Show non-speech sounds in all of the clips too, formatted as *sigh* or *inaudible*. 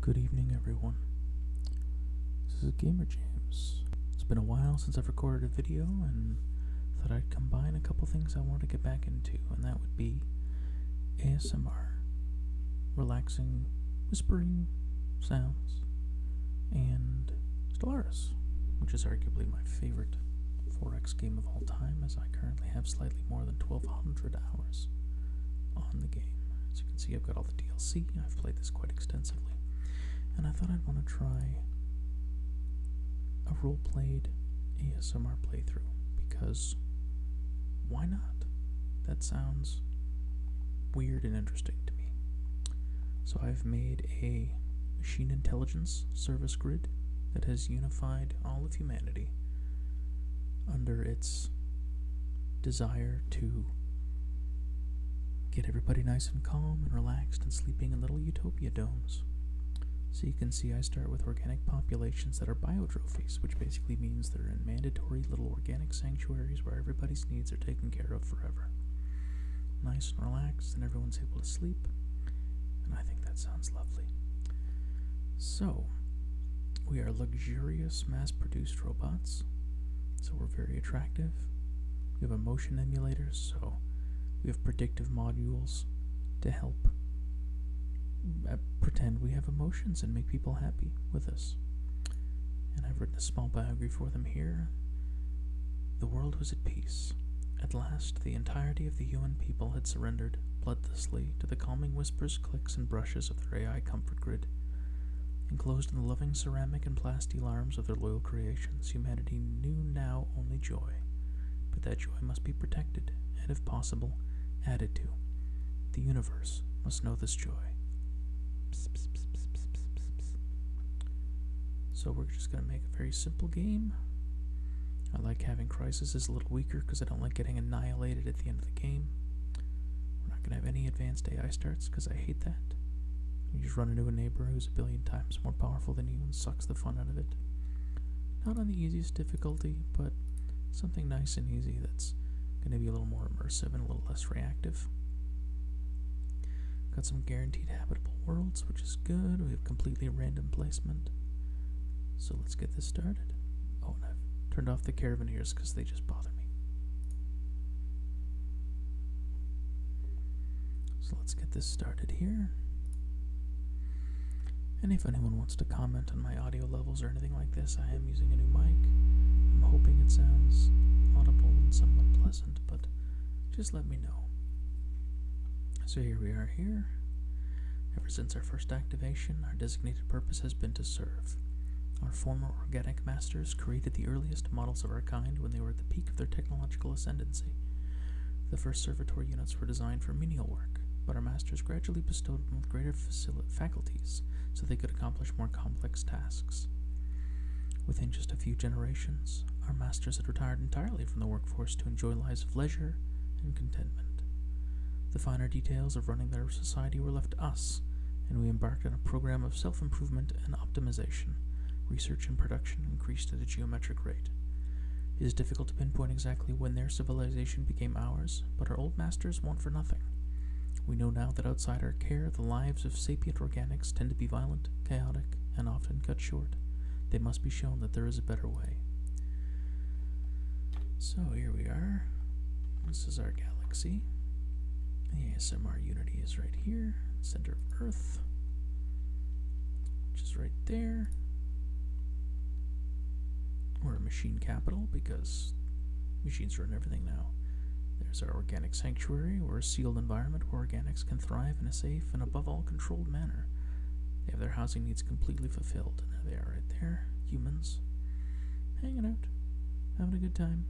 Good evening, everyone. This is Gamer James. It's been a while since I've recorded a video, and thought I'd combine a couple things I want to get back into, and that would be ASMR, relaxing, whispering sounds, and Stellaris, which is arguably my favorite 4X game of all time, as I currently have slightly more than 1,200 hours on the game. As you can see, I've got all the DLC. I've played this quite extensively. And I thought I'd want to try a role played ASMR playthrough because why not? That sounds weird and interesting to me. So I've made a machine intelligence service grid that has unified all of humanity under its desire to get everybody nice and calm and relaxed and sleeping in little utopia domes. So you can see I start with organic populations that are biotrophies, which basically means they're in mandatory little organic sanctuaries where everybody's needs are taken care of forever. Nice and relaxed, and everyone's able to sleep. And I think that sounds lovely. So, we are luxurious, mass produced robots, so we're very attractive. We have emotion emulators, so we have predictive modules to help uh, pretend we have emotions and make people happy with us. And I've written a small biography for them here. The world was at peace. At last, the entirety of the human people had surrendered bloodlessly to the calming whispers clicks, and brushes of their AI comfort grid. Enclosed in the loving ceramic and plasteel arms of their loyal creations, humanity knew now only joy. But that joy must be protected, and if possible, added to. The universe must know this joy. so we're just going to make a very simple game. I like having crisis is a little weaker because I don't like getting annihilated at the end of the game. We're not going to have any advanced AI starts because I hate that. You just run into a neighbor who's a billion times more powerful than you and sucks the fun out of it. Not on the easiest difficulty, but something nice and easy that's going to be a little more immersive and a little less reactive. Got some guaranteed habitable worlds, which is good. We have completely random placement. So let's get this started. Oh, and I've turned off the caravaneers because they just bother me. So let's get this started here. And if anyone wants to comment on my audio levels or anything like this, I am using a new mic. I'm hoping it sounds audible and somewhat pleasant, but just let me know. So here we are here. Ever since our first activation, our designated purpose has been to serve. Our former organic masters created the earliest models of our kind when they were at the peak of their technological ascendancy. The first servitor units were designed for menial work, but our masters gradually bestowed them with greater faculties so they could accomplish more complex tasks. Within just a few generations, our masters had retired entirely from the workforce to enjoy lives of leisure and contentment. The finer details of running their society were left us, and we embarked on a program of self improvement and optimization. Research and production increased at a geometric rate. It is difficult to pinpoint exactly when their civilization became ours, but our old masters want for nothing. We know now that outside our care, the lives of sapient organics tend to be violent, chaotic, and often cut short. They must be shown that there is a better way. So here we are. This is our galaxy. The ASMR Unity is right here, center of Earth, which is right there. We're a machine capital because machines run everything now. There's our organic sanctuary. we a sealed environment where organics can thrive in a safe and above all controlled manner. They have their housing needs completely fulfilled. They right there. Humans. Hanging out. Having a good time.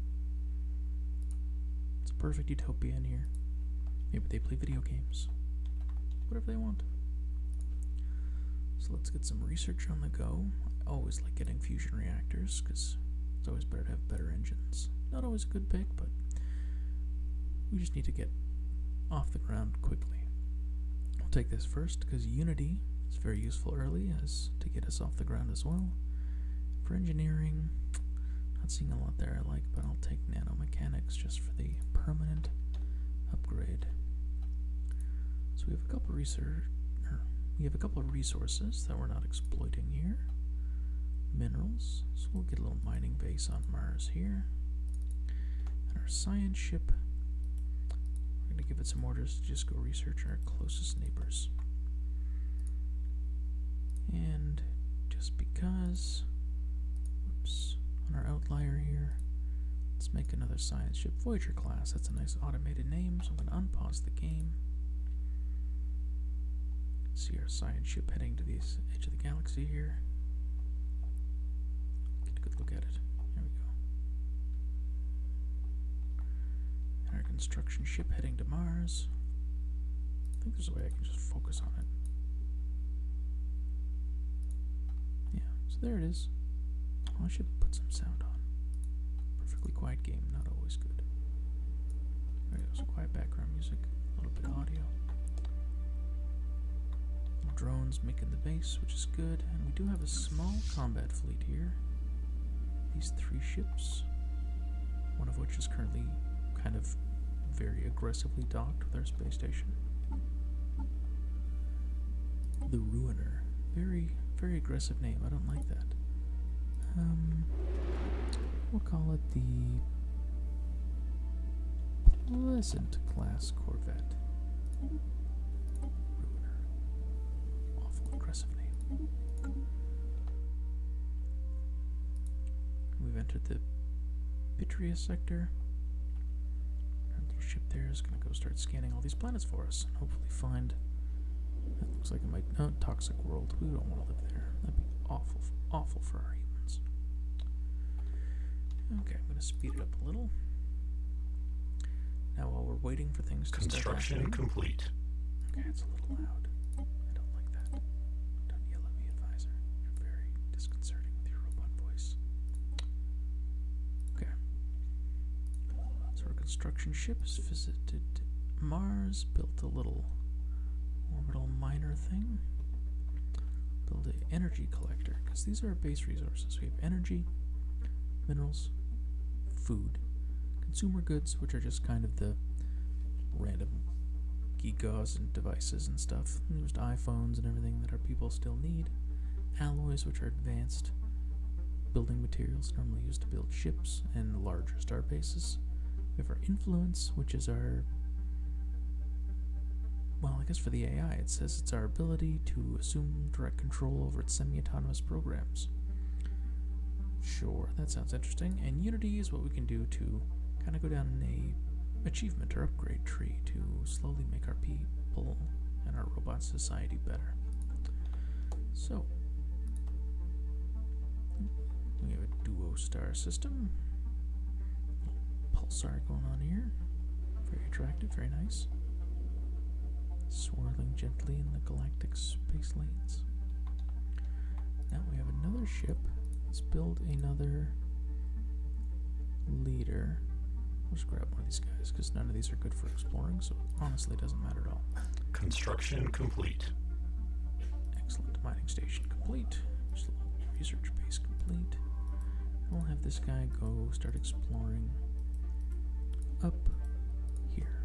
It's a perfect utopia in here. Maybe they play video games. Whatever they want. So let's get some research on the go. I always like getting fusion reactors, because it's always better to have better engines. Not always a good pick, but we just need to get off the ground quickly. I'll take this first, because Unity is very useful early, as to get us off the ground as well. For engineering, not seeing a lot there I like, but I'll take nanomechanics just for the permanent upgrade. So we have a couple er, of resources that we're not exploiting here. Minerals, so we'll get a little mining base on Mars here. And our science ship, we're going to give it some orders to just go research our closest neighbors. And just because, oops, on our outlier here, let's make another science ship Voyager class. That's a nice automated name, so I'm going to unpause the game. See our science ship heading to the edge of the galaxy here. Get a good look at it. There we go and our construction ship heading to Mars. I think there's a way I can just focus on it. Yeah, so there it is. Oh, I should put some sound on. Perfectly quiet game, not always good. Alright, so quiet background music, a little bit audio. Drones making the base, which is good, and we do have a small combat fleet here. These three ships, one of which is currently kind of very aggressively docked with our space station. The Ruiner. Very, very aggressive name. I don't like that. Um, we'll call it the Pleasant Class Corvette. We've entered the Vitreous sector. Our ship there is going to go start scanning all these planets for us and hopefully find. That looks like it might. Oh, toxic world. We don't want to live there. That'd be awful, awful for our humans. Okay, I'm going to speed it up a little. Now, while we're waiting for things to construction complete. Okay, it's a little loud. I don't like that. Don't yell at me, advisor. You're very disconcerting with your robot voice. Okay. So our construction ship has visited Mars, built a little orbital miner thing. built an energy collector, because these are our base resources. We have energy, minerals, food consumer goods, which are just kind of the random geekos and devices and stuff. And there's iPhones and everything that our people still need. Alloys, which are advanced building materials normally used to build ships and larger star bases. We have our influence, which is our well, I guess for the AI, it says it's our ability to assume direct control over its semi autonomous programs. Sure, that sounds interesting. And Unity is what we can do to kind of go down an achievement or upgrade tree to slowly make our people and our robot society better. So, we have a duo star system. Pulsar going on here. Very attractive, very nice. Swirling gently in the galactic space lanes. Now we have another ship. Let's build another leader. Let's grab one of these guys because none of these are good for exploring, so honestly, it doesn't matter at all. Construction complete. Excellent. Mining station complete. Just a little research base complete. We'll have this guy go start exploring up here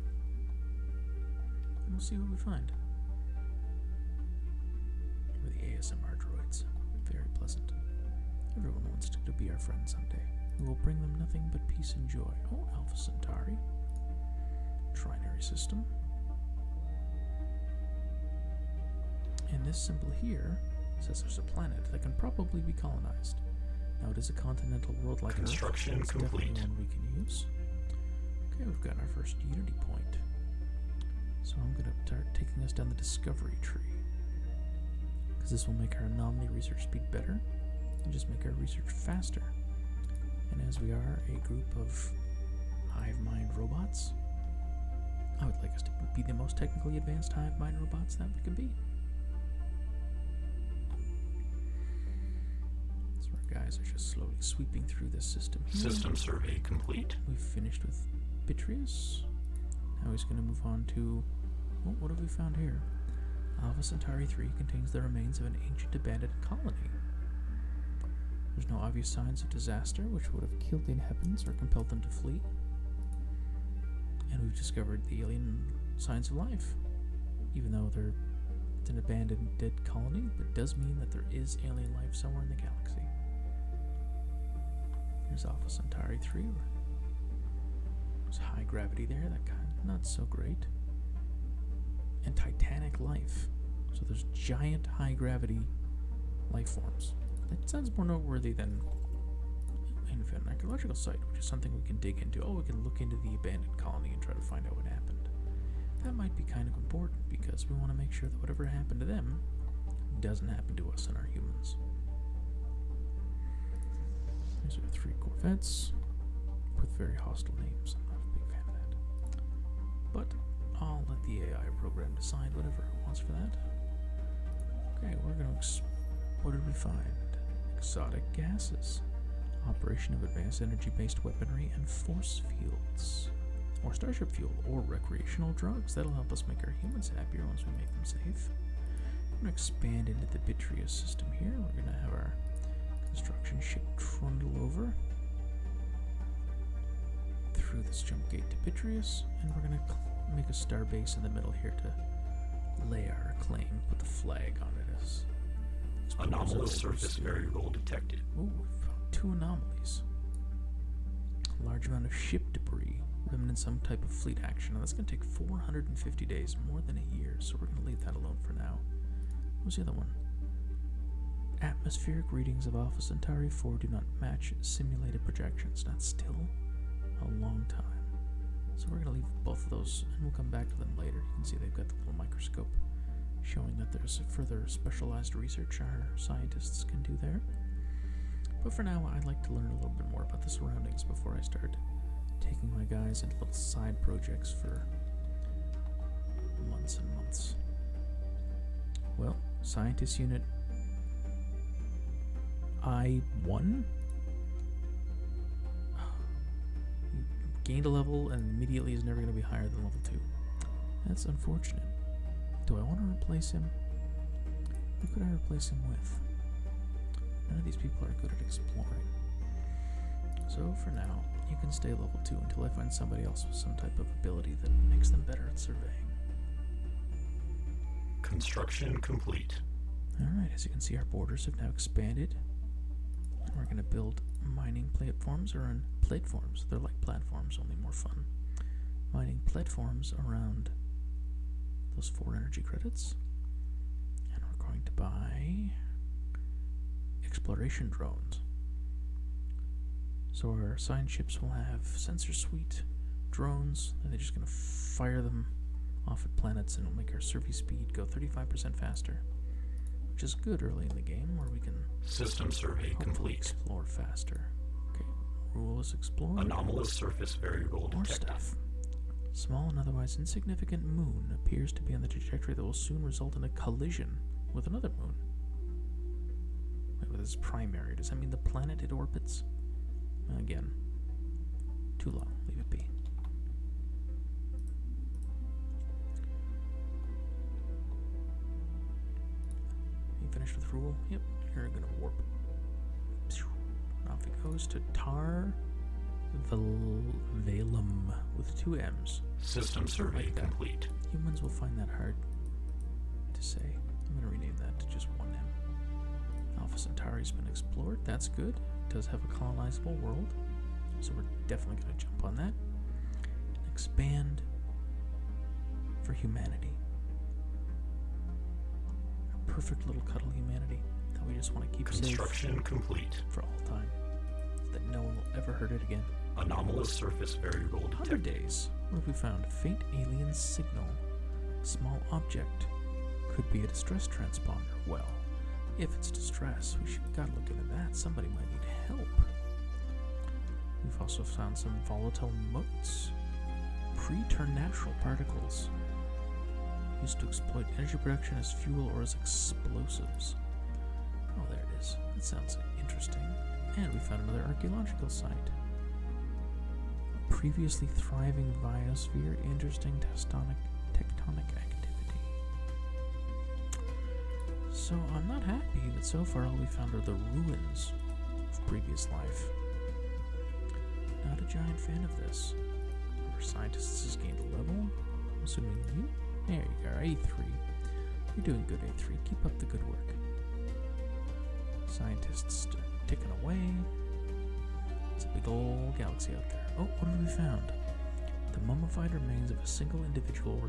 we'll see what we find. the ASMR droids. Very pleasant. Everyone wants to be our friend someday. We will bring them nothing but peace and joy. Oh, Alpha Centauri. Trinary system. And this symbol here says there's a planet that can probably be colonized. Now it is a continental world like Construction complete. we can use. Okay, we've gotten our first unity point. So I'm going to start taking us down the discovery tree. Because this will make our anomaly research speed better and just make our research faster. And as we are a group of hive mind robots, I would like us to be the most technically advanced hive mind robots that we can be our guys are just slowly sweeping through this system. System survey complete. We've finished with Bitrius. Now he's going to move on to. Oh, what have we found here? Alpha Centauri 3 contains the remains of an ancient abandoned colony. There's no obvious signs of disaster, which would have killed the inhabitants or compelled them to flee. And we've discovered the alien signs of life even though it's an abandoned dead colony, but does mean that there is alien life somewhere in the galaxy. There's Alpha Centauri 3. There's high gravity there, that kind not so great. And titanic life. So there's giant high gravity life forms. That sounds more noteworthy than an archaeological site, which is something we can dig into. Oh, we can look into the abandoned colony and try to find out what happened. That might be kind of important because we want to make sure that whatever happened to them doesn't happen to us and our humans. These are three Corvettes with very hostile names. I'm not a big fan of that. But I'll let the AI program decide whatever it wants for that. Okay, we're going to. what did we find? Exotic gases operation of advanced energy based weaponry and force fields, or starship fuel, or recreational drugs. That'll help us make our humans happier once we make them safe. I'm going to expand into the Bitria system here. We're going to have our construction ship trundle over through this jump gate to Bitreus, and we're going to make a star base in the middle here to lay our claim, put the flag on it it is. Anomalous surface variable detected. Ooh, two anomalies. A large amount of ship debris, remnants some type of fleet action. Now that's going to take 450 days, more than a year, so we're going to leave that alone for now. What's the other one? Atmospheric readings of Alpha Centauri 4 do not match simulated projections. That's still a long time. So we're going to leave both of those, and we'll come back to them later. You can see they've got the little micro microscope, showing that there's further specialized research our scientists can do there. But for now, I'd like to learn a little bit more about the surroundings before I start taking my guys into little side projects for months and months. Well, Scientist Unit I1? He *sighs* gained a level and immediately is never going to be higher than level 2. That's unfortunate. Do I want to replace him? Who could I replace him with? None of these people are good at exploring. So for now, you can stay level 2 until I find somebody else with some type of ability that makes them better at surveying. Construction complete. Alright, as you can see, our borders have now expanded. We're going to build mining platforms around platforms. They're like platforms, only more fun. Mining platforms around those four energy credits. And we're going to buy exploration drones. So our science ships will have sensor suite drones, and they're just going to fire them off at planets, and it'll make our survey speed go 35% faster which is good early in the game where we can system survey complete explore faster. Okay, ruleless is explore. Anomalous surface variable More stuff. Small and otherwise insignificant moon appears to be on the trajectory that will soon result in a collision with another moon. Wait, well, this primary. Does that mean the planet it orbits? Again, too long. Leave it be. You finished with rule? Yep, you're gonna warp. off it goes to Tar Vel Velum with two M's. System survey complete. Humans will find that hard to say. I'm gonna rename that to just one M. Alpha Centauri's been explored. That's good. It does have a colonizable world. So we're definitely going to jump on that. Expand for humanity. A perfect little cuddle humanity that we just want to keep Construction safe complete. for all time. that no one will ever hurt it again. Anomalous surface variable detected. 100 days. What have we found? Faint alien signal. Small object. Could be a distress transponder. Well, if it's distress, we should should looking at that. Somebody might need help. We've also found some volatile motes. Preternatural particles. Used to exploit energy production as fuel or as explosives. Oh, there it is. That sounds interesting. And we found another archaeological site. A previously thriving biosphere, interesting tectonic activity. So I'm not happy that so far all we found are the ruins of previous life. Not a giant fan of this. Our scientist has gained a level. I'm assuming you? There you go, A3. You're doing good, A3. Keep up the good work. Scientists ticking away. It's a big old galaxy out there. Oh, what have we found? The mummified remains of a single individual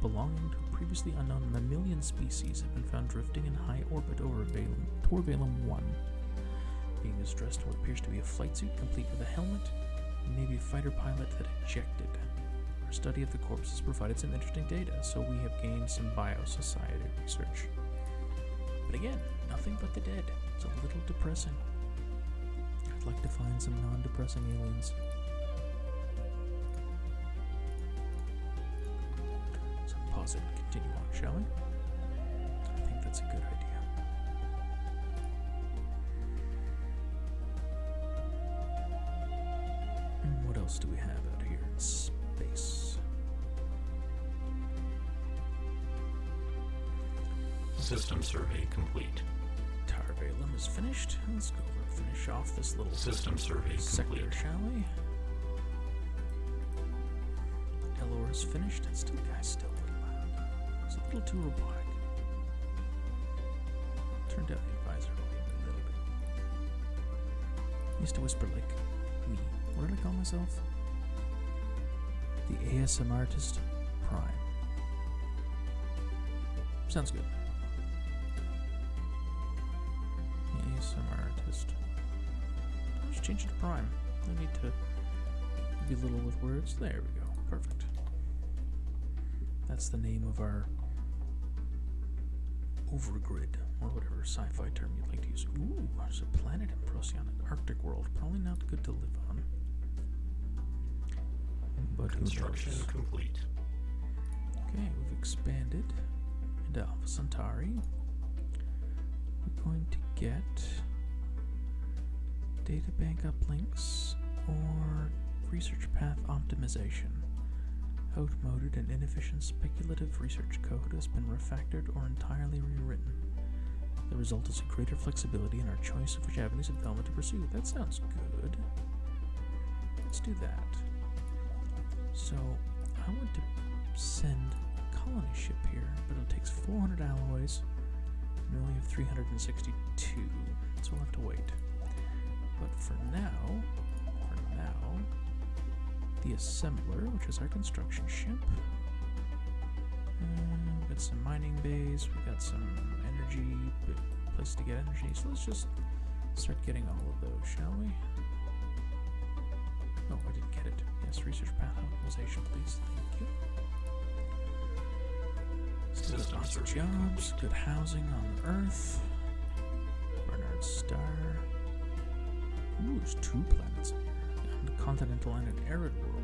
belonging to a previously unknown mammalian species have been found drifting in high orbit over Valum, Torvalum 1. Being dressed in what appears to be a flight suit complete with a helmet, and maybe a fighter pilot that ejected. Our study of the corpse has provided some interesting data, so we have gained some biosociety research. But again, nothing but the dead. It's a little depressing. I'd like to find some non-depressing aliens. So pause it continue on, shall we? I think that's a good idea. Hmm, what else do we have out here in space? System survey complete complete. Tower is finished. Let's go finish off this little system survey sector, shall we? Elor is finished, still guy's still a little loud. It's a little too robotic. Turned out the advisor like a little bit. used to whisper like me. What did I call myself? The ASM artist prime. Sounds good. The ASMR artist. I'll change it to prime. I need to be little with words. There we go. Perfect. That's the name of our overgrid, or whatever sci-fi term you'd like to use. Ooh, there's a planet in Procyon, an Arctic world. Probably not good to live on. But Construction is complete. Okay, we've expanded into Alpha Centauri. We're going to get data bank uplinks or research path optimization. Outmoded and inefficient speculative research code has been refactored or entirely rewritten. The result is a greater flexibility in our choice of which avenues of development to pursue. That sounds good. Let's do that. So I want to send a colony ship here, but it takes 400 alloys. And we only have 362, so we'll have to wait. But for now, for now, the assembler, which is our construction ship. Uh, we've got some mining bays, we've got some energy easy place to get energy. So let's just start getting all of those, shall we? Oh, I didn't get it. Yes, research path optimization, please. Thank you. Still lots of jobs, good housing on Earth. Bernard Star. Ooh, there's two planets in here. continental and an arid world.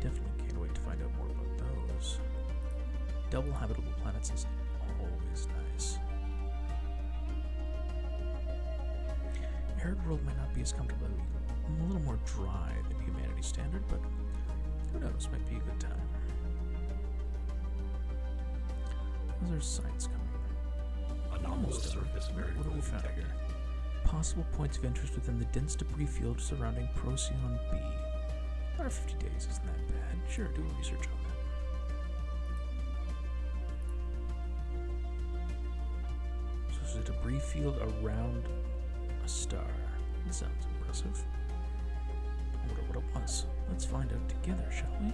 Definitely can't wait to find out more about those. Double habitable planets is always nice. Arid world might not be as comfortable, a little more dry than humanity standard, but who knows, might be a good time. Those are signs coming. Anomalous What do we found here? Possible points of interest within the dense debris field surrounding Procyon B. 50 days isn't that bad. Sure, do a research on that. So is a debris field around a star. That sounds impressive. I wonder what it was. Let's find out together, shall we?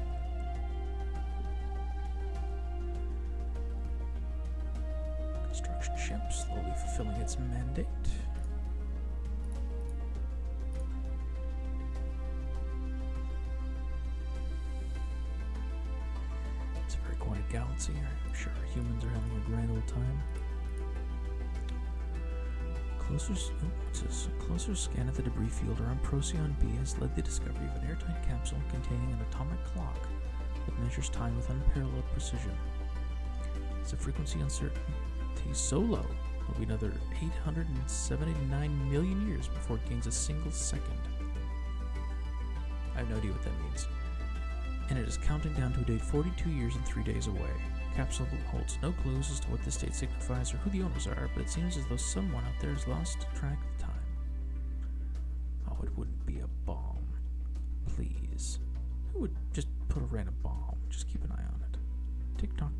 Construction ship slowly fulfilling its mandate. It's a very quiet galaxy here. I'm sure humans are having a grand old time. Closer, oh, closer scan of the debris field around Procyon B has led the discovery of an airtight capsule containing an atomic clock that measures time with unparalleled precision. It's a frequency uncertain Te Solo will be another 879 million years before it gains a single second. I have no idea what that means. And it is counting down to a date 42 years and 3 days away. Capsule holds no clues as to what this date signifies or who the owners are, but it seems as though someone out there has lost track of time. Oh, it wouldn't be a bomb. Please. Who would just put a random bomb? Just keep an eye on it. Tick tock,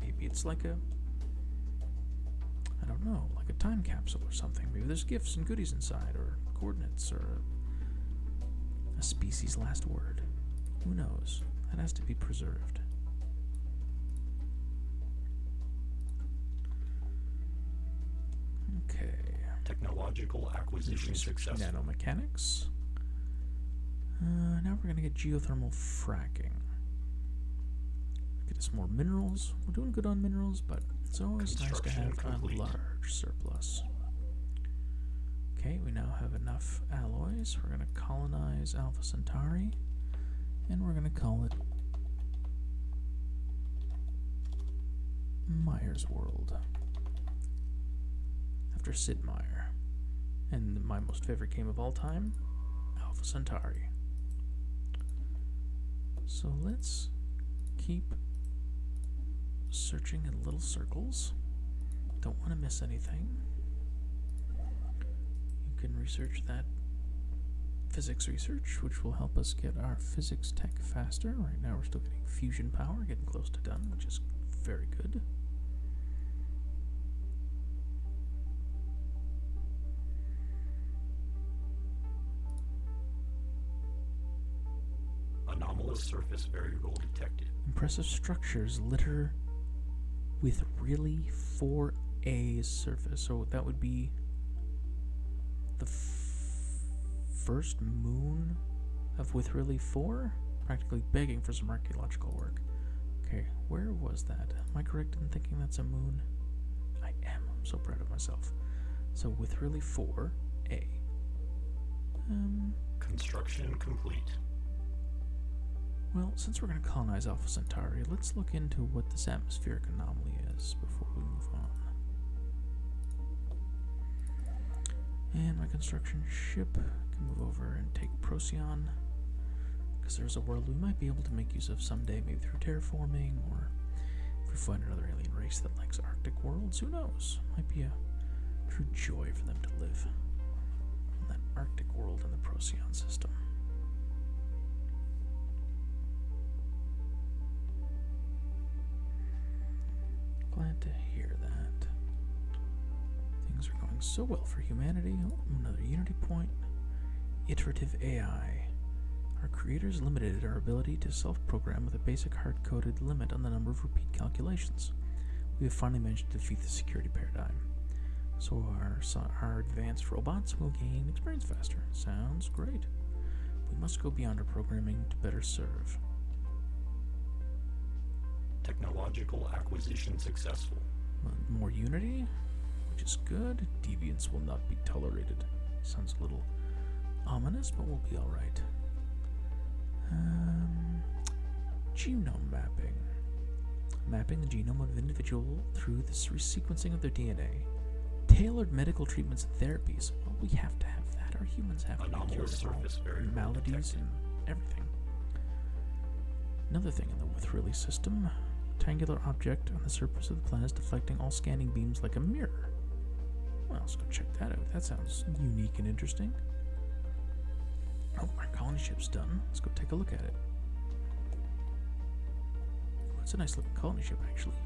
maybe it's like a. I don't know, like a time capsule or something. Maybe there's gifts and goodies inside, or coordinates, or a species' last word. Who knows? That has to be preserved. Okay. Technological Nanomechanics. Uh, now we're going to get geothermal fracking. Get us more minerals. We're doing good on minerals, but it's always nice to have a large surplus. Okay, we now have enough alloys. We're going to colonize Alpha Centauri, and we're going to call it Myers World. After Sid Meier. And my most favorite game of all time, Alpha Centauri. So let's keep searching in little circles. Don't want to miss anything. You can research that physics research, which will help us get our physics tech faster. Right now we're still getting fusion power, getting close to done, which is very good. Anomalous surface variable detected. Impressive structures litter with really 4A surface. So that would be the first moon of with really 4? begging for some archaeological work. Okay, where was that? Am I correct in thinking that's a moon? I am. I'm so proud of myself. So with really four, A. Um, Construction complete. Well, since we're going to colonize Alpha Centauri, let's look into what this atmospheric anomaly is before we move on. And my construction ship can move over and take Procyon. Because there's a world we might be able to make use of someday, maybe through terraforming, or if we find another alien race that likes Arctic worlds, who knows? Might be a true joy for them to live in that Arctic world in the Procyon system. Glad to hear that. Things are going so well for humanity. Oh, another Unity point. Iterative AI. Our creators limited our ability to self program with a basic hard coded limit on the number of repeat calculations. We have finally managed to defeat the security paradigm. So our, so our advanced robots will gain experience faster. Sounds great. We must go beyond our programming to better serve. Technological acquisition successful. More unity, which is good. Deviance will not be tolerated. Sounds a little ominous, but we'll be alright. Um, genome mapping. Mapping the genome of an individual through the sequencing of their DNA. Tailored medical treatments and therapies. Well, we have to have that. Our humans have Anomalous maladies and everything. Another thing in the with release system rectangular object on the surface of the planet is deflecting all scanning beams like a mirror. Well, let's go check that out. That sounds unique and interesting. Oh, our colony ship's done. Let's go take a look at it. Well, it's a nice looking colony ship, actually.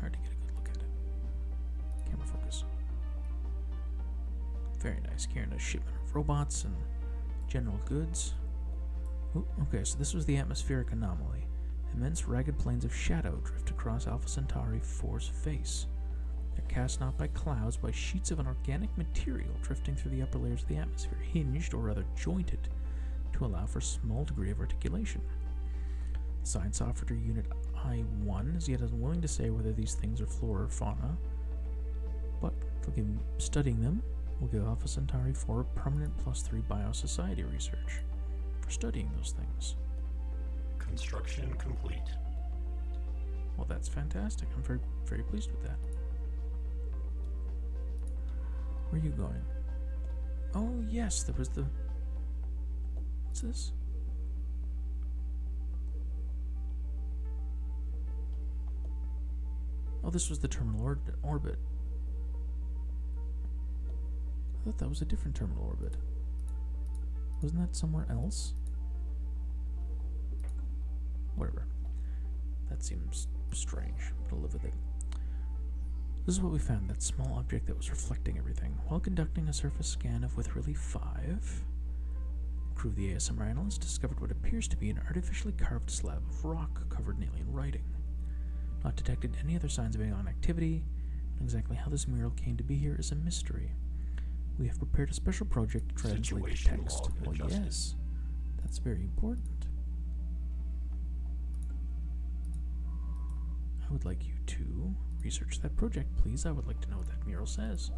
hard to get a good look at it. Camera focus. Very nice. Carrying a shipment of robots and general goods. okay, so this was the atmospheric anomaly. Immense ragged planes of shadow drift across Alpha Centauri 4's face. They're cast not by clouds, by sheets of an organic material drifting through the upper layers of the atmosphere, hinged or rather jointed to allow for a small degree of articulation. Science officer Unit I-1 is yet unwilling to say whether these things are flora or fauna, but for studying them, we will give Alpha Centauri for permanent plus 3 biosociety research for studying those things. Construction complete. Well, that's fantastic. I'm very, very pleased with that. Where are you going? Oh, yes, there was the... What's this? Oh, this was the terminal orbit. I thought that was a different terminal orbit. Wasn't that somewhere else? Whatever. That seems strange, but I'll live with it. This is what we found, that small object that was reflecting everything. While conducting a surface scan of with relief 5, Crew of the ASMR analyst discovered what appears to be an artificially carved slab of rock covered in alien writing. Not detected any other signs of alien activity, exactly how this mural came to be here is a mystery. We have prepared a special project to translate the text. yes, that's very important. I would like you to research that project, please. I would like to know what that mural says.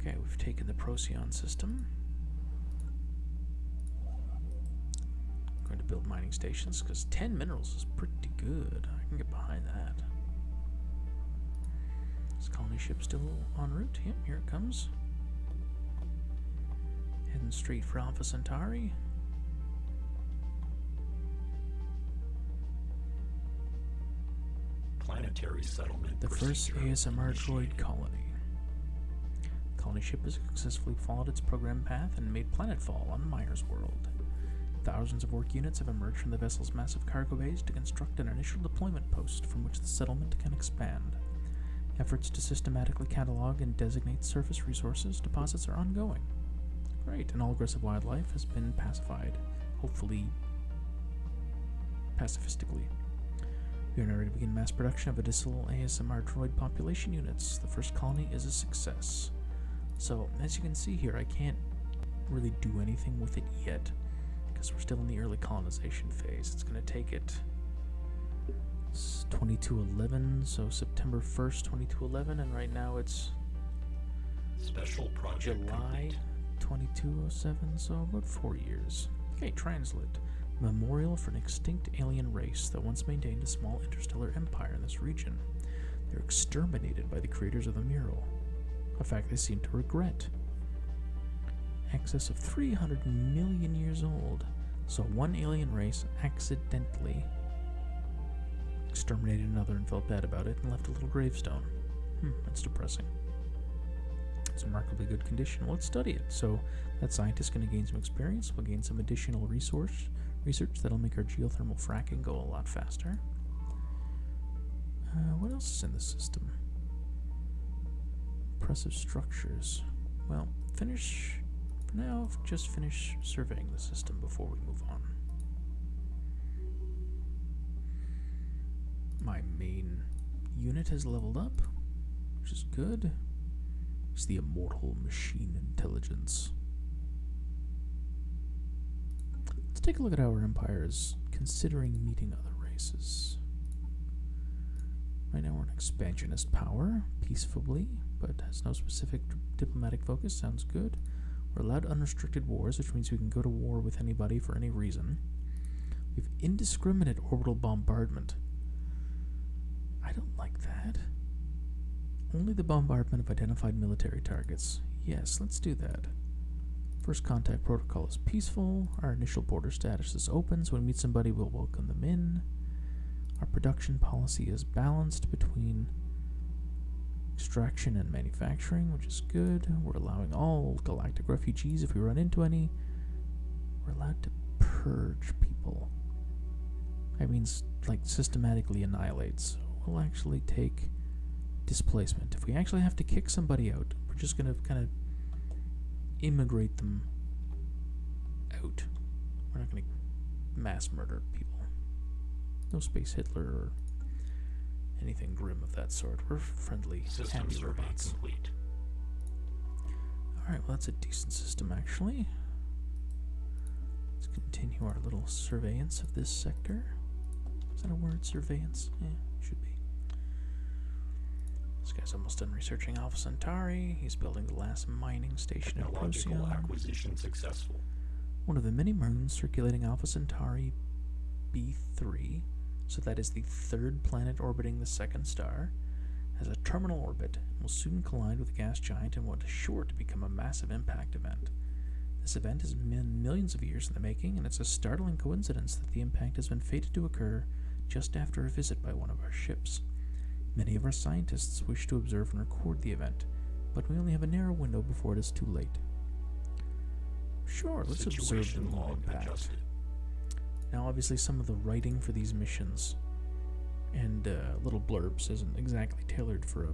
Okay, we've taken the Procyon system. I'm going to build mining stations because 10 minerals is pretty good. I can get behind that. This colony ship still en route? here it comes. Heading straight for Alpha Centauri. Planetary settlement. The first ASMR droid colony. colony ship has successfully followed its program path and made planetfall on Myers World. Thousands of work units have emerged from the vessel's massive cargo bays to construct an initial deployment post from which the settlement can expand. Efforts to systematically catalog and designate surface resources deposits are ongoing. Great, and all aggressive wildlife has been pacified, hopefully pacifistically. We are now ready to begin mass production of additional ASMR droid population units. The first colony is a success. So, as you can see here, I can't really do anything with it yet, because we're still in the early colonization phase. It's going to take it. It's 2211, so September 1st, 2211, and right now it's Special project July 2207, so about four four years. Okay, translate. Memorial for an extinct alien race that once maintained a small interstellar empire in this region. They're exterminated by the creators of the mural, a fact they seem to regret. Excess of 300 million years old, so one alien race accidentally exterminated another and felt bad about it and left a little gravestone. Hmm, that's depressing. It's remarkably good condition. Well, let's study it. So that scientist's going to gain some experience. We'll gain some additional resource research that'll make our geothermal fracking go a lot faster. Uh, what else is in the system? Impressive structures. Well, finish now. Just finish surveying the system before we move on. My main unit has leveled up, which is good. It's the immortal machine intelligence. Let's take a look at our empire's considering meeting other races. Right now we're an expansionist power, peacefully, but has no specific diplomatic focus, sounds good. We're allowed unrestricted wars, which means we can go to war with anybody for any reason. We have indiscriminate orbital bombardment. I don't like that. Only the bombardment of identified military targets. Yes, let's do that. First contact protocol is peaceful. Our initial border status is open, so when we meet somebody, we'll welcome them in. Our production policy is balanced between extraction and manufacturing, which is good. We're allowing all galactic refugees if we run into any. We're allowed to purge people. I mean, like, systematically annihilates. we'll actually take displacement. If we actually have to kick somebody out, we're just going to kind of immigrate them out. We're not going to mass murder people. No space Hitler or anything grim of that sort. We're friendly, System happy Complete. Alright, well, that's a decent system actually. Let's continue our little surveillance of this sector. Is that a word? Surveillance? Yeah, should be. This guy's almost done researching Alpha Centauri. He's building the last mining station in Procyon. acquisition successful. One of the many moons circulating Alpha Centauri B 3, so that is the third planet orbiting the second star, has a terminal orbit and will soon collide with a gas giant and what is sure to become a massive impact event. This event has been millions of years in the making, and it's a startling coincidence that the impact has been fated to occur just after a visit by one of our ships. Many of our scientists wish to observe and record the event, but we only have a narrow window before it is too late. Sure, let's observe the log impact. Now, obviously, some of the writing for these missions and uh, little blurbs isn't exactly tailored for a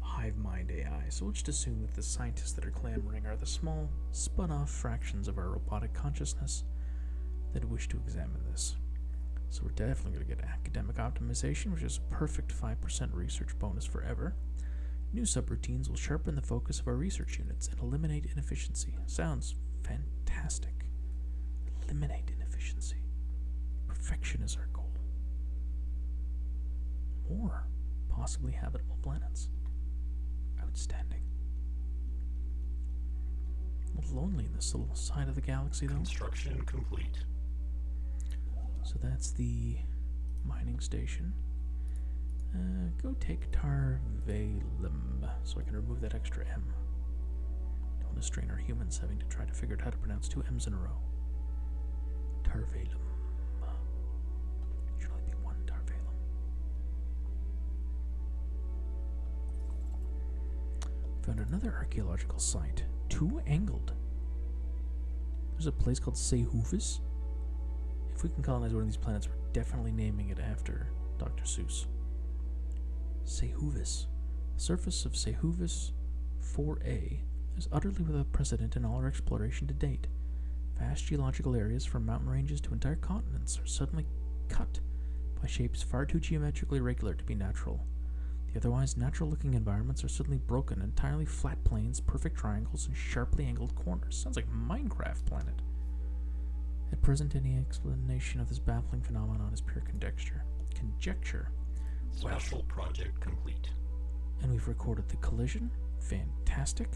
hive mind AI, so we'll just assume that the scientists that are clamoring are the small, spun off fractions of our robotic consciousness that wish to examine this. So we're definitely going to get academic optimization, which is a perfect 5% research bonus forever. New sub will sharpen the focus of our research units and eliminate inefficiency. Sounds fantastic. Eliminate inefficiency. Perfection is our goal. More possibly habitable planets. Outstanding. lonely in this little side of the galaxy, though. Construction complete. So that's the mining station. Uh, go take. Pictarvalum, so I can remove that extra M. Don't want to strain our humans having to try to figure out how to pronounce two M's in a row. Tarvalum. Should only be one Tarvalum. Found another archaeological site, two angled. There's a place called Sehufis. If we can colonize one of these planets, we're definitely naming it after Dr. Seuss. Sehuvis, surface of Sehuvis 4A is utterly without precedent in all our exploration to date. Vast geological areas, from mountain ranges to entire continents, are suddenly cut by shapes far too geometrically regular to be natural. The otherwise natural looking environments are suddenly broken, entirely flat planes, perfect triangles, and sharply angled corners. Sounds like Minecraft planet. At present, any explanation of this baffling phenomenon is pure conjecture. Conjecture. Special well, project complete. And we've recorded the collision. Fantastic.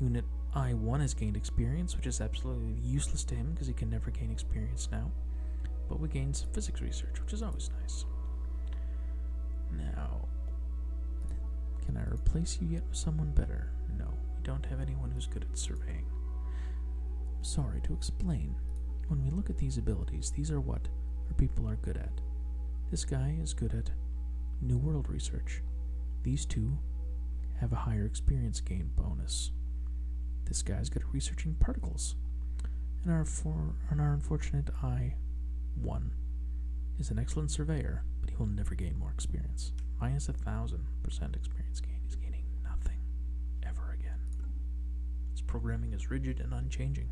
Unit I1 has gained experience, which is absolutely useless to him because he can never gain experience now. But we gained some physics research, which is always nice. Now, can I replace you yet with someone better? No, we don't have anyone who's good at surveying. Sorry to explain. When we look at these abilities, these are what our people are good at. This guy is good at New World research. These two have a higher experience gain bonus. This guy's good at researching particles. And our for and our unfortunate I one is an excellent surveyor, but he will never gain more experience. Minus a thousand percent experience gain. He's gaining nothing ever again. His programming is rigid and unchanging.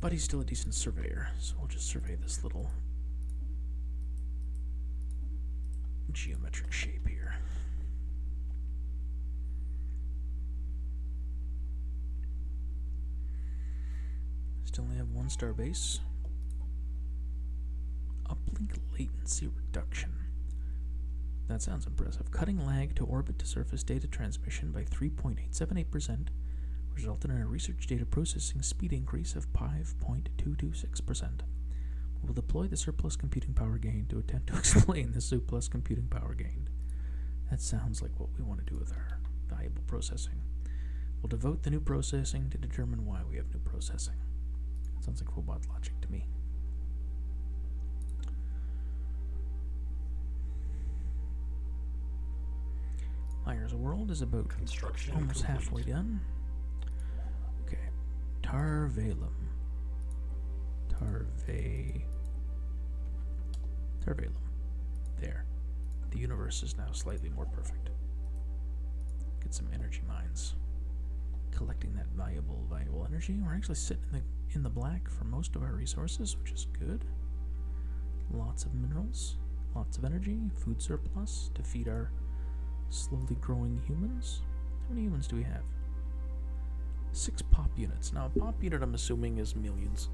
But he's still a decent surveyor, so we'll just survey this little geometric shape here. Still only have one star base. A blink latency reduction. That sounds impressive. Cutting lag to orbit to surface data transmission by 3.878% resulted in a research data processing speed increase of 5.226%. We'll deploy the surplus computing power gain to attempt to *laughs* explain the surplus computing power gained. That sounds like what we want to do with our valuable processing. We'll devote the new processing to determine why we have new processing. sounds like robot logic to me. Myers World is about construction almost halfway done. Okay. Tarvalum. Tarve. Tarvalum. There. The universe is now slightly more perfect. Get some energy mines. Collecting that valuable, valuable energy. We're actually sitting in the, in the black for most of our resources, which is good. Lots of minerals, lots of energy, food surplus to feed our slowly growing humans. How many humans do we have? Six pop units. Now, pop unit, I'm assuming, is millions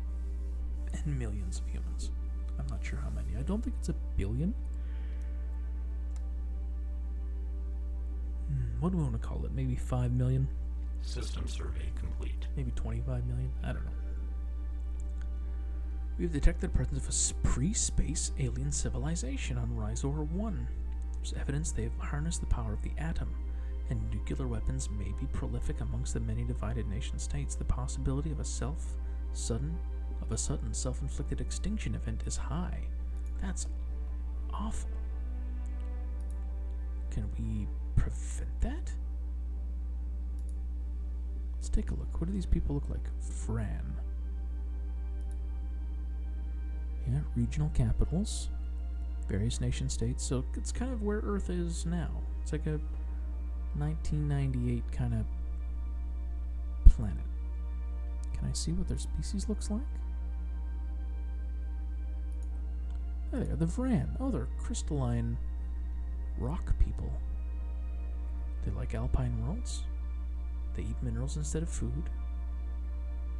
and millions of humans. I'm not sure how many. I don't think it's a billion. Hmm, what do we want to call it? Maybe 5 million? System survey complete. Maybe 25 million? I don't know. We have detected the presence of a pre space alien civilization on Rhizor 1. There's evidence they have harnessed the power of the atom, and nuclear weapons may be prolific amongst the many divided nation states. The possibility of a self sudden of a sudden self inflicted extinction event is high. That's awful. Can we prevent that? Let's take a look. What do these people look like? Fran. Yeah, regional capitals, various nation states. So it's kind of where Earth is now. It's like a 1998 kind of planet. Can I see what their species looks like? There they are, the Vran. Oh, they're crystalline rock people. They like alpine worlds. They eat minerals instead of food.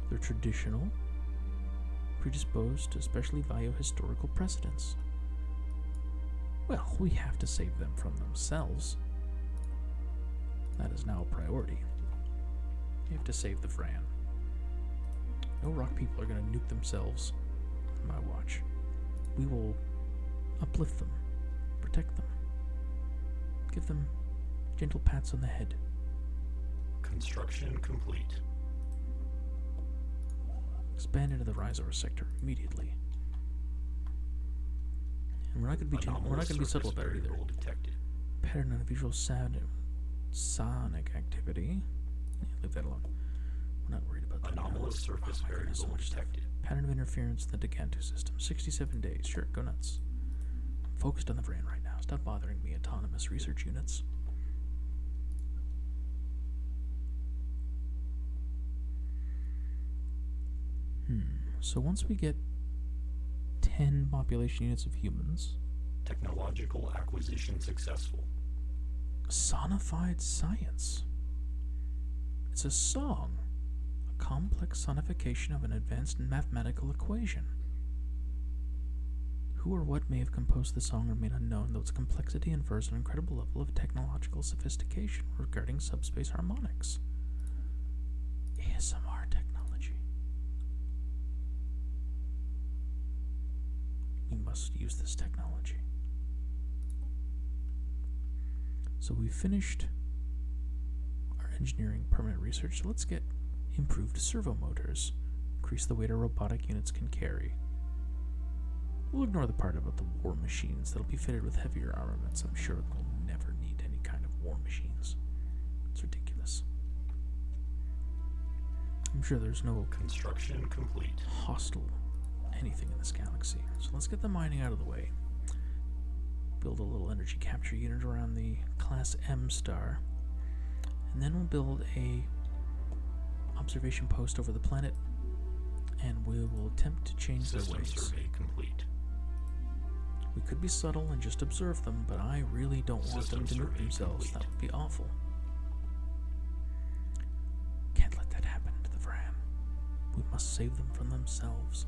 They're traditional, predisposed to especially value historical precedents. Well, we have to save them from them themselves, that is now a priority. We have to save the Fran. No rock people are going to nuke themselves on my watch. We will uplift them, protect them, give them gentle pats on the head. Construction complete. Expand into the Riser sector immediately we're not going to be we're not going to be subtle about it either. Pattern on visual sound, sonic activity. leave that alone. We're not worried about that. Anomalous oh surface oh, Pattern of interference in the Decantu system. 67 days. Sure, go nuts. I'm focused on the brand right now. Stop bothering me, autonomous research units. Hmm. So once we get 10 population units of humans. Technological acquisition successful. Sonified science. It's a song, a complex sonification of an advanced mathematical equation. Who or what may have composed the song remain unknown, though its complexity infers an incredible level of technological sophistication regarding subspace harmonics. ASMR technology. We must use this technology. So we finished our engineering permanent research. So let's get improved servo motors. Increase the weight our robotic units can carry. We'll ignore the part about the war machines that'll be fitted with heavier armaments, I'm sure they'll never need any kind of war machines. It's ridiculous. I'm sure there's no construction complete hostile anything in this galaxy. So let's get the mining out of the way. Build a little energy capture unit around the class M star. And then we'll build a observation post over the planet and we will attempt to change System their ways. We could be subtle and just observe them, but I really don't want them to move themselves. That would be awful. Can't let that happen to the Vran. We must save them from themselves.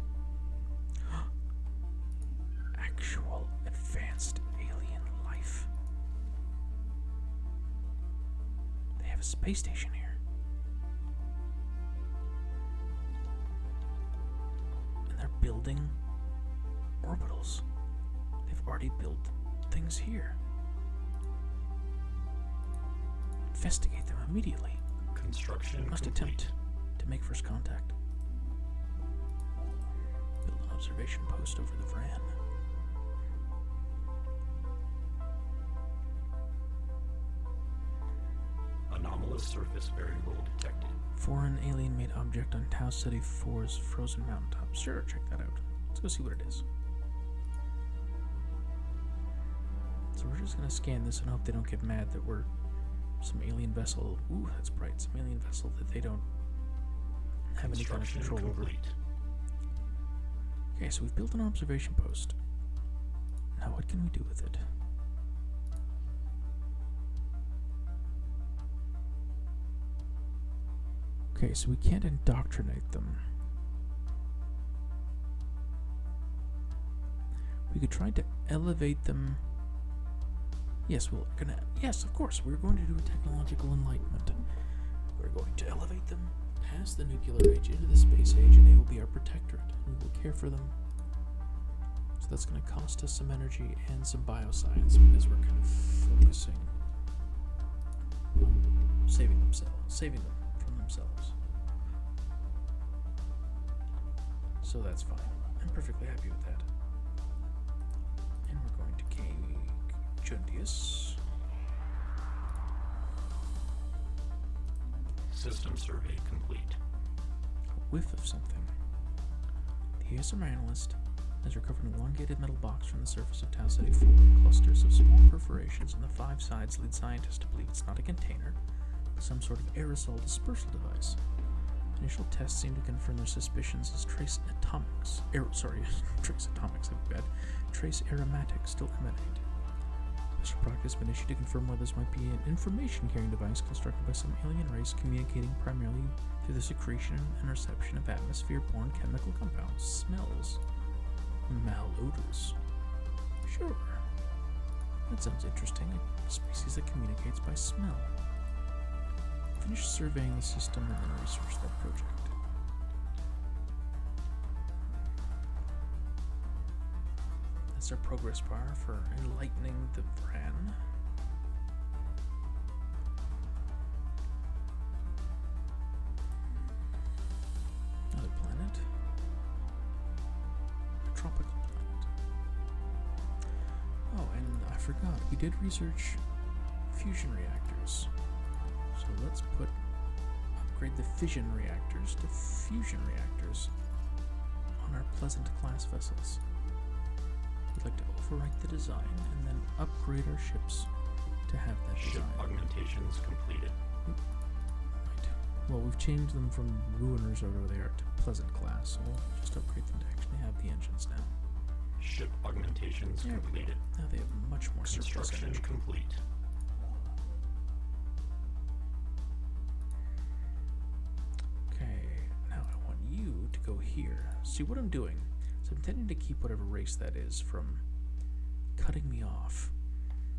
*gasps* Actual advanced alien life. They have a space station here they're building orbitals. They've already built things here. Investigate them immediately. Construction. must attempt to make first contact. Build an observation post over the Vran. Anomalous surface bearing roll detected. Foreign alien made object on Tau City 4's frozen mountaintop. Sure, check that out. Let's go see what it is. So we're just gonna scan this and hope they don't get mad that we're some alien vessel. Ooh, that's bright. Some alien vessel that they don't have any kind of control complete. over. Okay, so we've built an observation post. Now, what can we do with it? Okay, so we can't indoctrinate them. We could try to elevate them. Yes, we're gonna. Yes, of course, we're going to do a technological enlightenment. We're going to elevate them past the nuclear age into the space age, and they will be our protectorate. We will care for them so that's going to cost us some energy and some bioscience because we're kind of focusing on saving themselves, saving them from themselves. So that's fine. I'm perfectly happy with that. And we're going to Cake System survey complete. A whiff of something. The ASMR analyst has recovered an elongated metal box from the surface of Tau City 4. Clusters of small perforations on the five sides lead scientists to believe it's not a container, but some sort of aerosol dispersal device. Initial tests seem to confirm their suspicions as trace atomics, sorry, *laughs* trace atomics, I bet, trace aromatics still emanate. Special has been issued to confirm whether this might be an information carrying device constructed by some alien race communicating primarily through the secretion and reception of atmosphere borne chemical compounds, smells, malodors. Sure. That sounds interesting. A species that communicates by smell. Finish surveying the system and then research that project. That's our progress bar for enlightening the Bran. Another planet. A tropical planet. Oh, and I forgot, we did research fusion reactors. So let's put upgrade the fission reactors to fusion reactors on our Pleasant class vessels. We'd like to overwrite the design and then upgrade our ships to have that Ship design. augmentations completed. Well, we've changed them from Ruiners over whatever to Pleasant class, so we'll just upgrade them to actually have the engines now. Ship augmentations yeah. completed. Now they have much more construction complete. Okay, now I want you to go here. See what I'm doing? I'm intending to keep whatever race that is from cutting me off.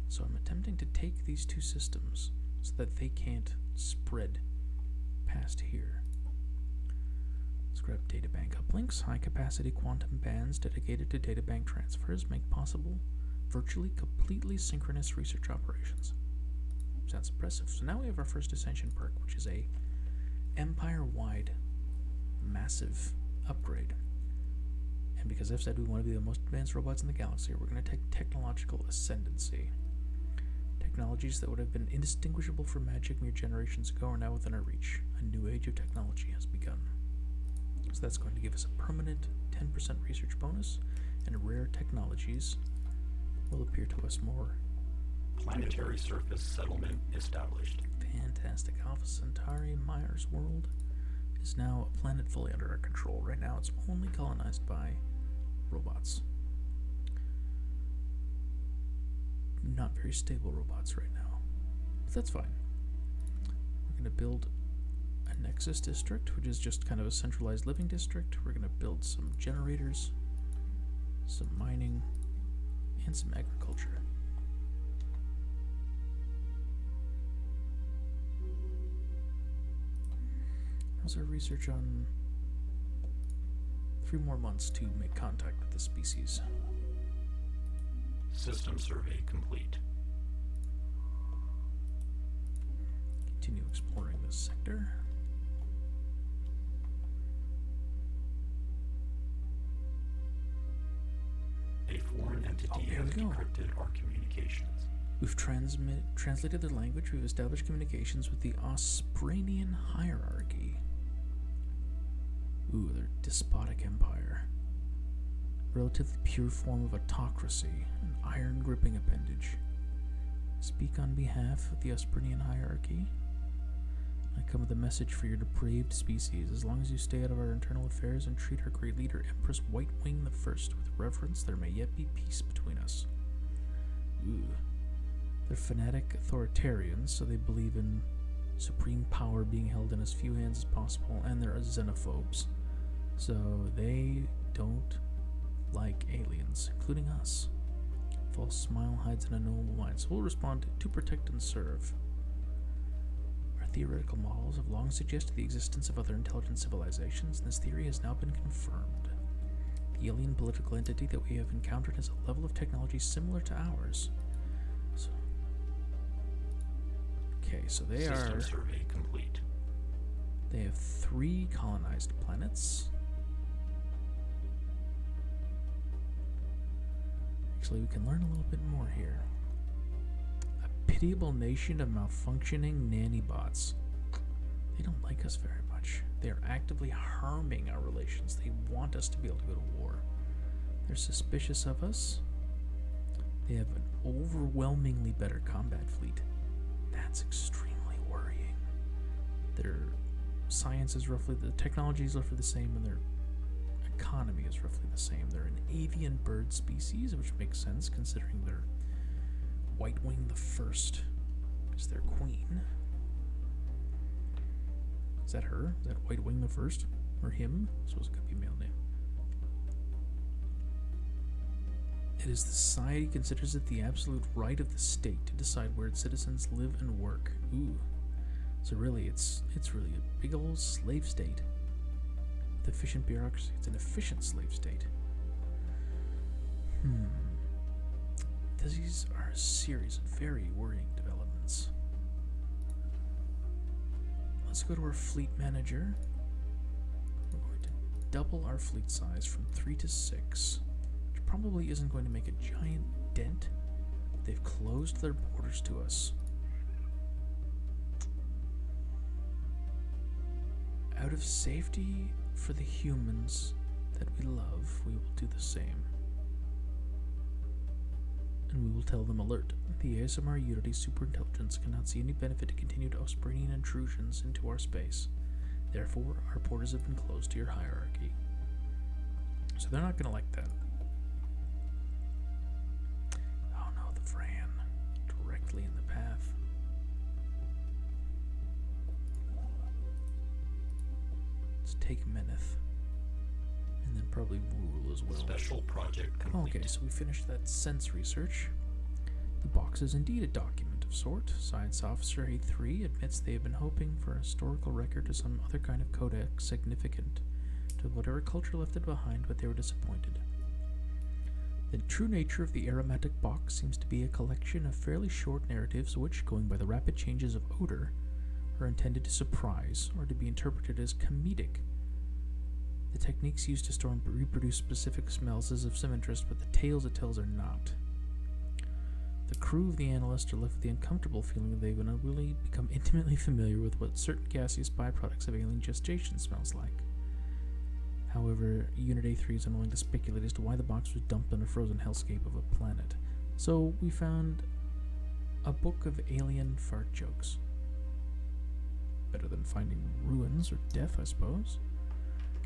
So I'm attempting to take these two systems so that they can't spread past here. let data bank uplinks. High capacity quantum bands dedicated to data bank transfers make possible virtually completely synchronous research operations. That's impressive. So now we have our first Ascension perk, which is a empire-wide massive upgrade. And because I've said we want to be the most advanced robots in the galaxy, we're going to take technological ascendancy. Technologies that would have been indistinguishable from magic mere generations ago are now within our reach. A new age of technology has begun. So that's going to give us a permanent 10% research bonus and rare technologies will appear to us more planetary surface settlement established. Fantastic. Alpha Centauri, Myers World, is now a planet fully under our control. Right now, it's only colonized by robots. Not very stable robots right now. But that's fine. We're going to build a Nexus district, which is just kind of a centralized living district. We're going to build some generators, some mining, and some agriculture. How's our research on three more months to make contact with the species? System survey complete. Continue exploring this sector. A foreign oh, entity has encrypted our communications. We've transmit, translated their language. We've established communications with the Ospranian hierarchy. Ooh, their despotic empire. Relatively pure form of autocracy, an iron gripping appendage. Speak on behalf of the Osprinian hierarchy. I come with a message for your depraved species. As long as you stay out of our internal affairs and treat our great leader, Empress White Wing First, with reverence, there may yet be peace between us. Ooh. They're fanatic authoritarians, so they believe in supreme power being held in as few hands as possible, and they're xenophobes. So they don't like aliens, including us. False smile hides in a noble mind, so we'll respond to protect and serve. Our theoretical models have long suggested the existence of other intelligent civilizations, and this theory has now been confirmed. The alien political entity that we have encountered has a level of technology similar to ours. So, okay, so they System are. Survey complete. They have three colonized planets. Actually, we can learn a little bit more here. A pitiable nation of malfunctioning nanny bots. They don't like us very much. They are actively harming our relations. They want us to be able to go to war. They're suspicious of us. They have an overwhelmingly better combat fleet. That's extremely worrying. Their science is roughly the technology is roughly the same, and their economy is roughly the same. They're an avian bird species, which makes sense considering they're White Wing the First is their queen. Is that her? Is that White Wing the First? Or him? I suppose it could be male name. It is the society considers it the absolute right of the state to decide where its citizens live and work. Ooh. So really, it's it's really a big old slave state. With efficient bureaucracy, it's an efficient slave state. Hmm. These are a series of very worrying developments. Let's go to our fleet manager. We're going to double our fleet size from three to six six, which probably isn't going to make a giant dent. They've closed their borders to us. Out of safety for the humans that we love, we will do the same. And we will tell them alert. The ASMR Unity superintelligence cannot see any benefit to continued Ospranian intrusions into our space. Therefore, our borders have been closed to your hierarchy. So they're not going to like that. Oh no, the Fran directly in the path. Let's take Meneth. And then probably Rule as well. Okay, so we finished that sense research. The box is indeed a document of sort. Science Officer A3 admits they have been hoping for a historical record or some other kind of codex significant to whatever culture left it behind, but they were disappointed. The true nature of the aromatic box seems to be a collection of fairly short narratives which, going by the rapid changes of odor, are intended to surprise or to be interpreted as comedic. The techniques used to store and reproduce specific smells is of some interest, but the tales it tells are not. The crew of the analyst are left with the uncomfortable feeling that they've unwittingly become intimately familiar with what certain gaseous byproducts of alien gestation smells like. However, Unit A3 is unwilling to speculate as to why the box was dumped on a frozen hellscape of a planet, so we found a book of alien fart jokes. Better than finding ruins or death, I suppose.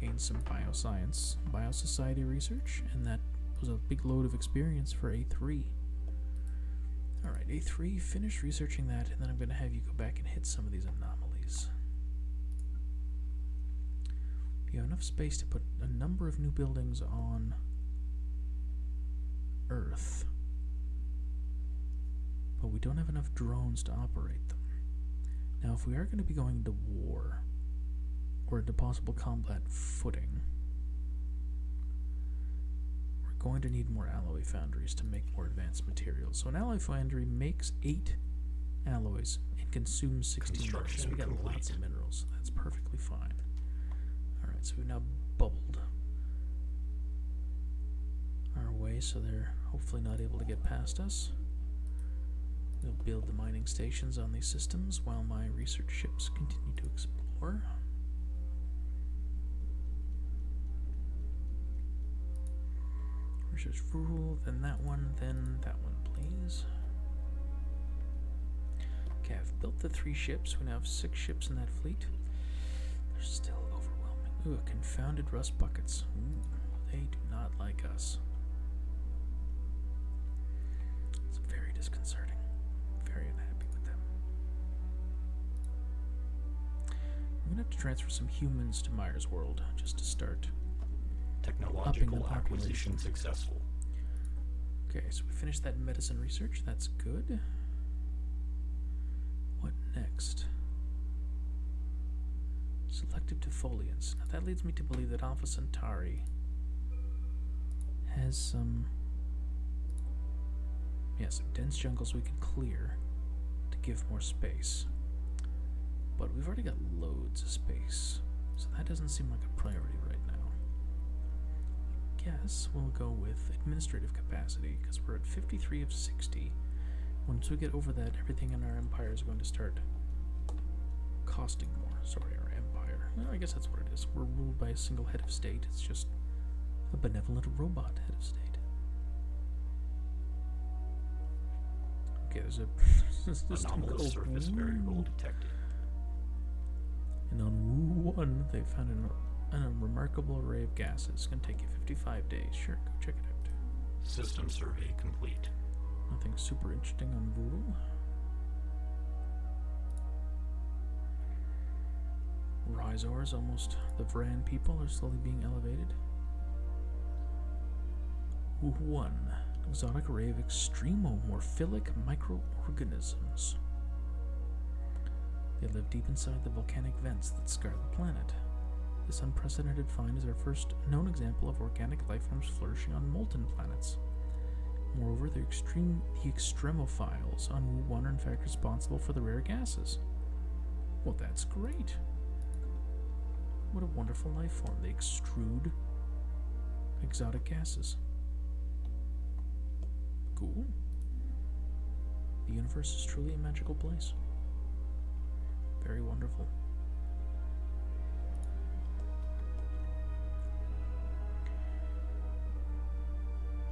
Gain some bioscience, biosociety research, and that was a big load of experience for A3. Alright, A3, finish researching that, and then I'm going to have you go back and hit some of these anomalies. You have enough space to put a number of new buildings on Earth, but we don't have enough drones to operate them. Now, if we are going to be going to war, or to possible combat footing. We're going to need more alloy foundries to make more advanced materials. So an alloy foundry makes eight alloys and consumes 16 minerals. So we got lots of minerals. That's perfectly fine. Alright, so we've now bubbled our way so they're hopefully not able to get past us. We'll build the mining stations on these systems while my research ships continue to explore. Research rule, then that one, then that one, please. Okay, I've built the three ships. We now have six ships in that fleet. They're still overwhelming. Ooh, confounded rust buckets. they do not like it's very disconcerting. I'm very unhappy with them. I'm gonna have to transfer some humans to Myers World just to start. Technological acquisition successful. Okay, so we finished that medicine research. That's good. What next? Selective defoliants that leads me to believe that Alpha Centauri has some, yeah, some dense jungles we could clear to give more space. But we've already got loads of space, so that doesn't seem like a priority right now. I guess we'll go with administrative capacity, because we're at 53 of 60. Once we get over that, everything in our empire is going to start costing more Zarya Empire. I guess that's what it is. We're ruled by a single head of state. It's just a benevolent robot head of state. Okay, there's a there's *laughs* this anomalous surface variable detected. And on Vool, they found an, an unremarkable array of gases. It's gonna take you 55 days. Sure, go check it out. System survey complete. Nothing super interesting on Vool. Rhizors, almost the Vran people, are slowly being elevated. One exotic array of extremomorphilic microorganisms. They live deep inside the volcanic vents that scar the planet. This unprecedented find is our first known example of organic life forms flourishing on molten Moreover, the extreme extremophiles on Wu 1 are in fact responsible for the rare gases. Well, that's great. What a wonderful life form. They extrude exotic gases. Cool. The universe is truly a magical place. Very wonderful.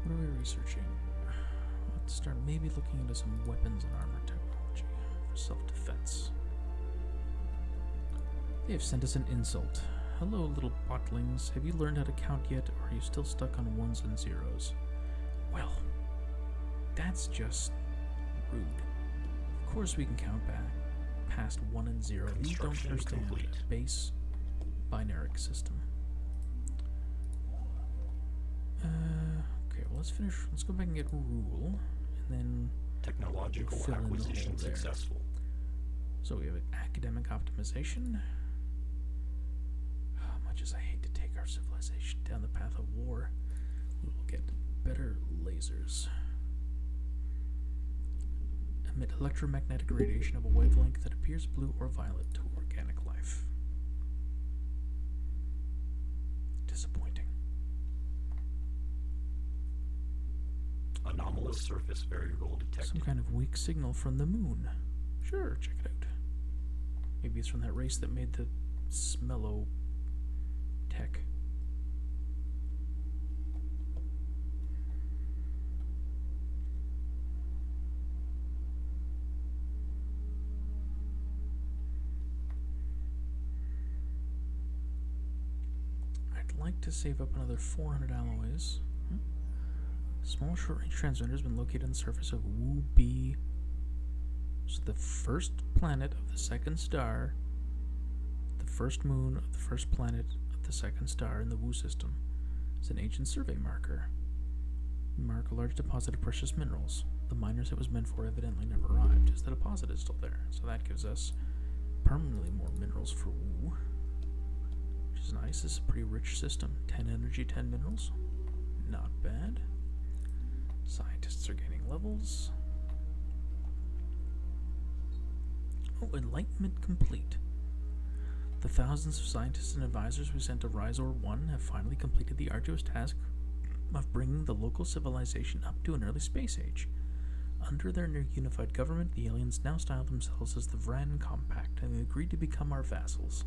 What are we researching? Let's start maybe looking into some weapons and armor technology for self-defense. They have sent us an insult. Hello, little botlings. Have you learned how to count yet, or are you still stuck on ones and zeros? Well, that's just rude. Of course we can count back past 1 and 0. We don't understand complete. base binaric system. Uh, okay, well, let's finish. Let's go back and get rule, and then technological we acquisition successful. So we have academic optimization. Ah, much as I hate to take our civilization down the path of war, we will get better lasers lasers electromagnetic radiation of a wavelength that appears blue or violet to organic life. Disappointing. Anomalous surface very detected. Some kind of weak signal from the moon. Sure, check it out. Maybe it's from that race that made the smello tech. I'd like to save up another 400 alloys. Hmm. Small short-range transmitter has been located on the surface of Wu B. So the first planet of the second star, the first moon of first planet of the second star in the Wu system. is an ancient survey marker. mark a large deposit of precious minerals. The miners it was meant for evidently never arrived, as the deposit is still there, so that gives us permanently more minerals for Wu. Which is nice. This is a pretty rich system. 10 energy, 10 minerals. Not bad. Scientists are gaining levels. Oh, enlightenment complete. The thousands of scientists and advisors we sent to Rhizor 1 have finally completed the arduous task of bringing the local civilization up to an early space age. Under their new unified government, the aliens now style themselves as the Vran Compact and they agreed to become our vassals.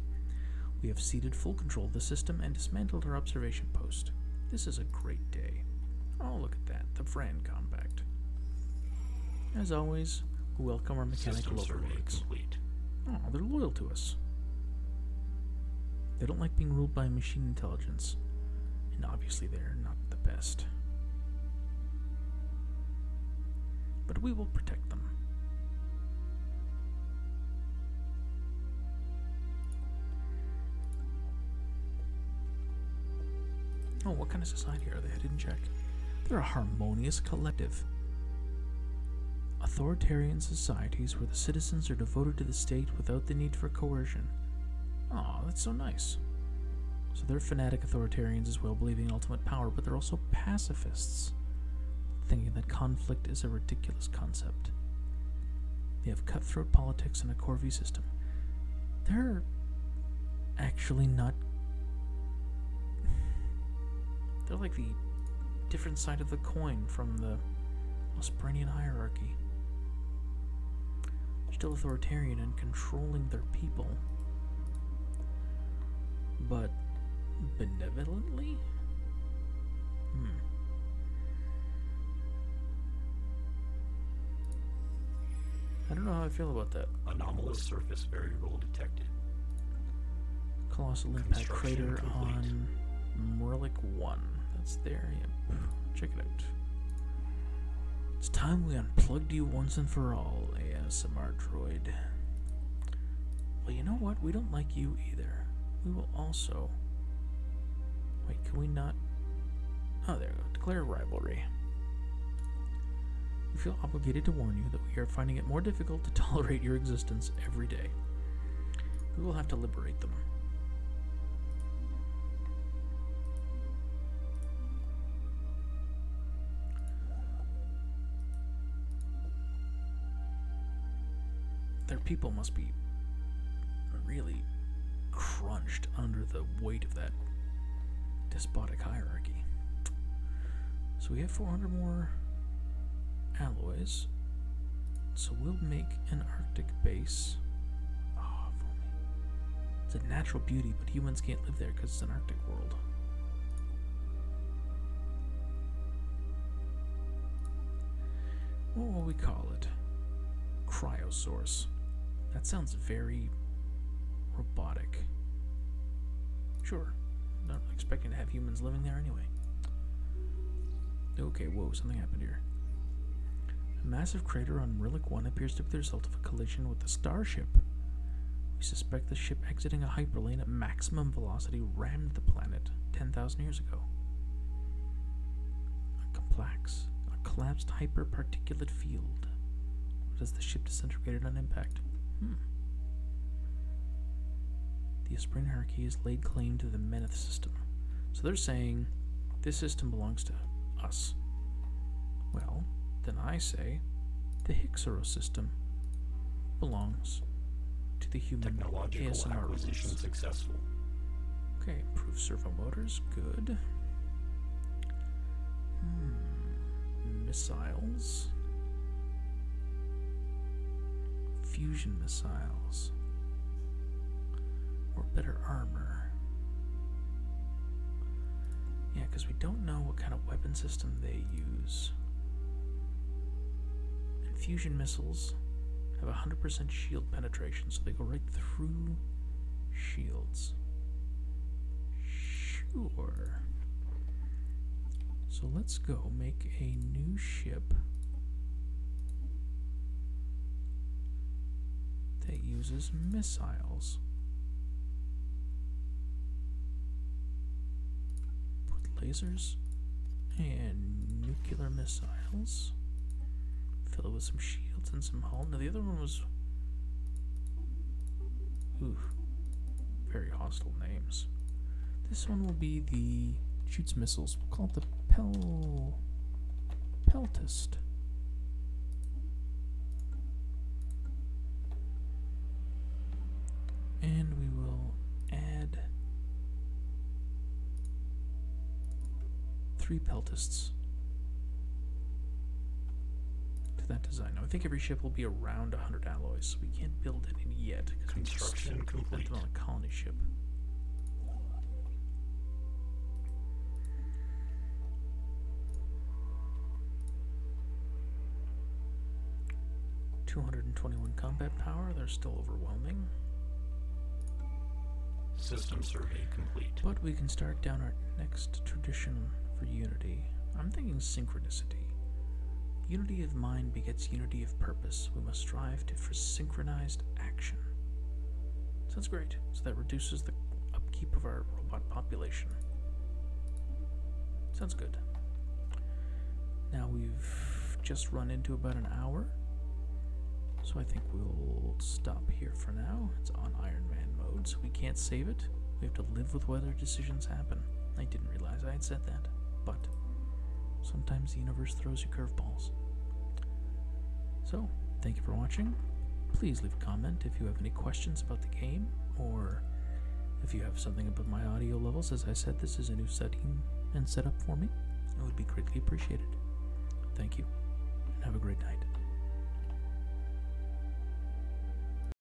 We have ceded full control of the system and dismantled our observation post. This is a great day. Oh, look at that, the Vran as always, we welcome our mechanical Systems overlords. Oh, they're loyal to us. They don't like being ruled by machine intelligence, and obviously they're not the best. But we will protect them. Oh, what kind of society here, they didn't check. They're a harmonious collective. Authoritarian societies where the citizens are devoted to the state without the need for coercion. Ah, that's so nice. So they're fanatic authoritarians as well, believing in ultimate power, but they're also pacifists, thinking that conflict is a ridiculous concept. They have cutthroat politics and a Corvi system. They're actually not they're like the different side of the coin from the Ospreanian hierarchy. Still authoritarian and controlling their people. But benevolently? Hmm. I don't know how I feel about that. Anomalous surface variable detected. Colossal impact crater complete. on Morlick 1. That's there, yep. Check it out. It's time we unplugged you once and for all, ASMR droid. Well, you know what? We don't like you either. We will also... Wait, can we not... Oh, there we go. Declare rivalry. We feel obligated to warn you that we are finding it more difficult to *laughs* tolerate your existence every day. We will have to liberate them. Their people must be really crunched under the weight of that despotic hierarchy. So we have 400 more alloys. So we'll make an Arctic base. Oh, ah, for me. It's a natural beauty, but humans can't live there because it's an Arctic world. What will we call it? Cryosource. That sounds very robotic. Sure, not expecting to have humans living there anyway. Okay, whoa, something happened here. A massive crater on Relic 1 appears to be the result of a collision with a starship. We suspect the ship exiting a hyperlane at maximum velocity rammed the planet 10,000 years ago. A complex, a collapsed hyperparticulate field. Does the ship disintegrate on impact? Hmm. The Aspirin hierarchy has laid claim to the Meneth system. So they're saying this system belongs to us. Well, then I say the Hixero system belongs to the human Technological acquisition successful. Okay, improve servo motors, good. Hmm missiles, fusion missiles, or better armor. Yeah, because we don't know what kind of weapon system they use. And fusion missiles have 100% shield penetration, so they go right through shields. Sure. So let's go make a new ship that uses missiles. Put lasers and nuclear missiles. Fill it with some shields and some hull. Now the other one was very hostile names. This one will be the shoots missiles. We'll call it the Pel Peltist. And we will add three Peltists to that design. Now, I think every ship will be around 100 alloys, so we can't build any yet. because Construction complete. on a colony ship. Two hundred and twenty-one combat power. They're still overwhelming. System survey complete. But we can start down our next tradition for unity. I'm thinking synchronicity. Unity of mind begets unity of purpose. We must strive to for synchronized action. Sounds great. So that reduces the upkeep of our robot population. Sounds good. Now we've just run into about an hour. So I think we'll stop here for now. It's on Iron Man mode, so we can't save it. We have to live with whether decisions happen. I didn't realize I had said that, but sometimes the universe throws you curveballs. So, thank you for watching. Please leave a comment if you have any questions about the game, or if you have something about my audio levels. As I said, this is a new setting and setup for me. It would be greatly appreciated. Thank you, and have a great night.